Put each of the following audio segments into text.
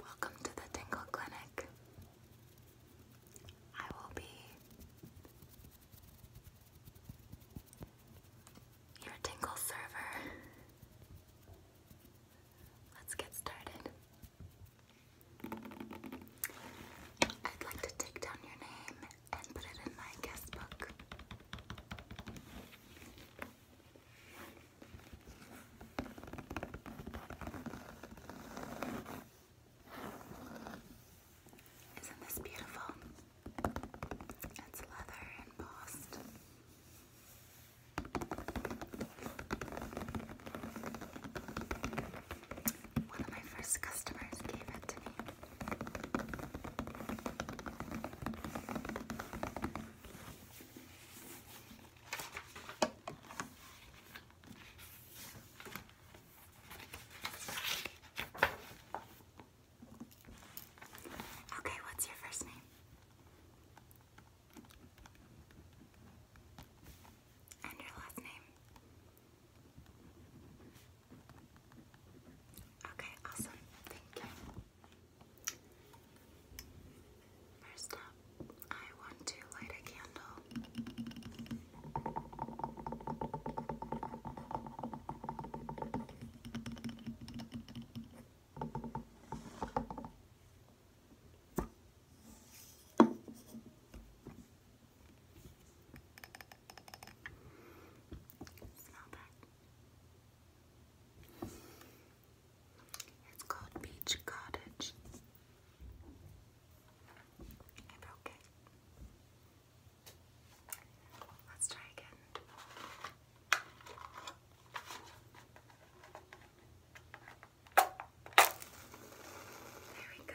Welcome to the Tingle Clinic. I will be your Tingle server. Let's get started. I'd like to take down your name and put it in my guest book. Isn't this beautiful? It's leather embossed. One of my first customers gave it to me. Okay, what's your first name? And your last name? Okay, awesome. Thank you. First up, I want to light a candle. It's called Beach Cottage. I Let's try again. There we go.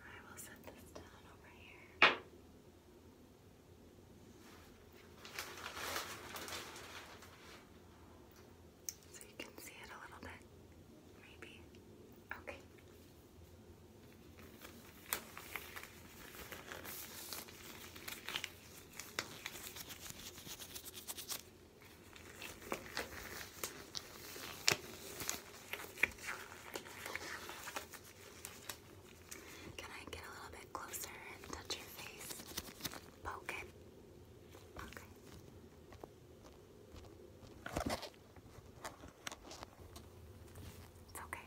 I will set this down over here. So you can see it a little bit, maybe. Okay. Can I get a little bit closer and touch your face? Poke it. Okay. It's okay. Okay.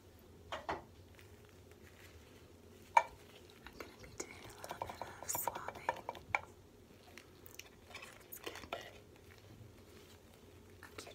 I'm going to be doing a little bit of swabbing. Okay.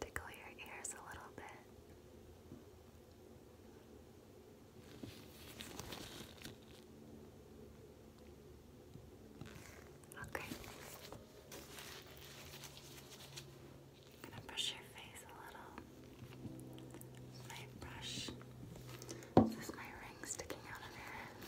Tickle your ears a little bit. Okay. gonna brush your face a little my brush. This is my ring sticking out of here. Does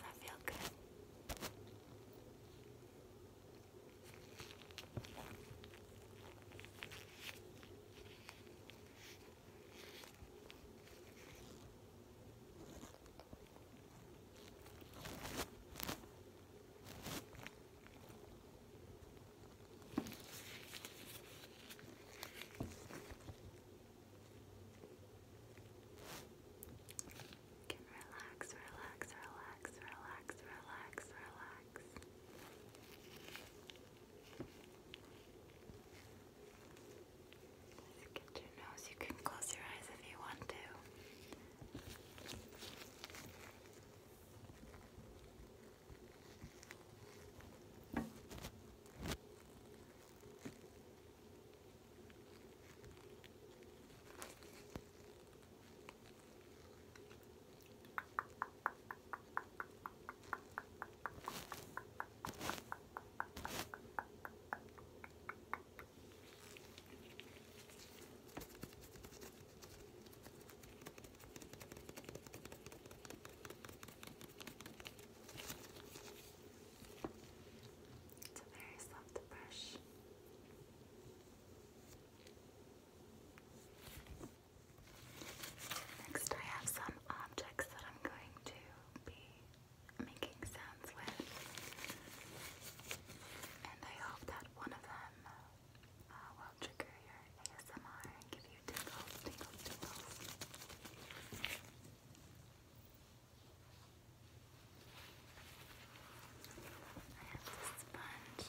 that feel good? can relax, relax, relax, relax, relax, relax relax. get your nose. You can close your eyes if you want to. It's a very soft brush. Next, I have some objects that I'm going to be making sounds with, and I hope that one of them uh, will trigger your ASMR and give you tingles, tingles, tingles. I have this sponge.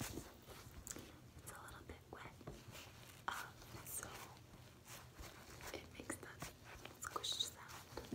It's a little bit wet, um, so it makes that squish sound.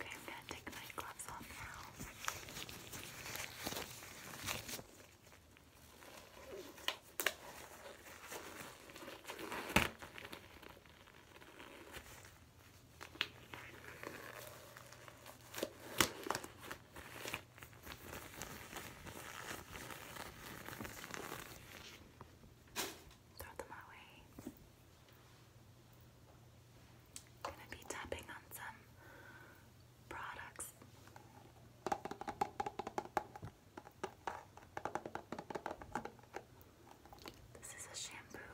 Okay, I'm going to take my gloves off now. Throw them away. Gonna be tapping on some products. This is a shampoo.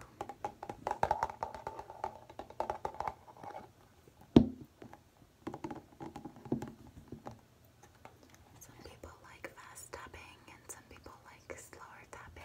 Some people like fast tapping and some people like slower tapping.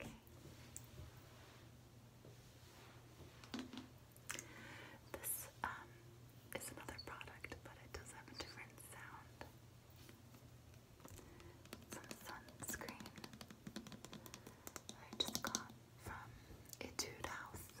Okay. This um, is another product, but it does have a different sound. Some sunscreen I just got from Etude House.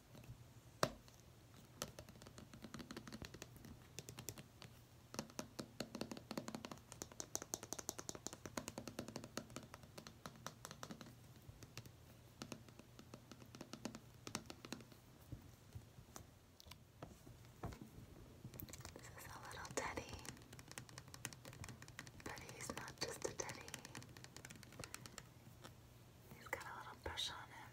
This is a little teddy, but he's not just a teddy. He's got a little brush on him.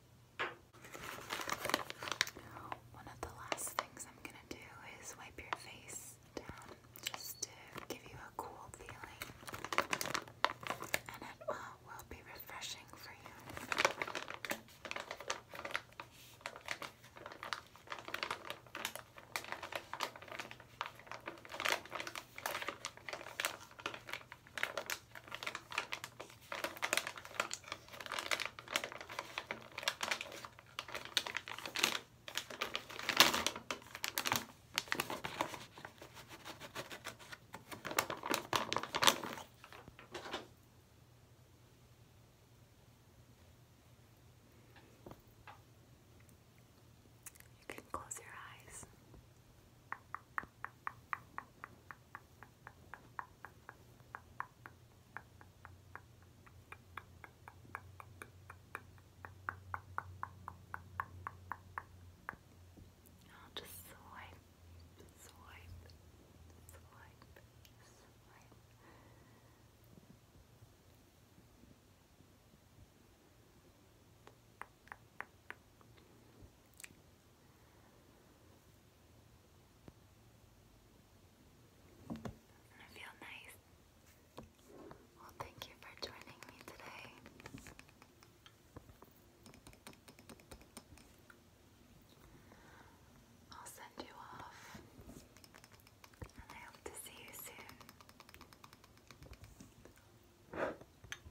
One of the last things I'm gonna do is wipe your face down just to give you a cool feeling, and it uh, will be refreshing for you. You can close your eyes. I'll just swipe, swipe, swipe, swipe. Just I feel nice. Well, thank you for joining me today. I'll send you off, and I hope to see you soon.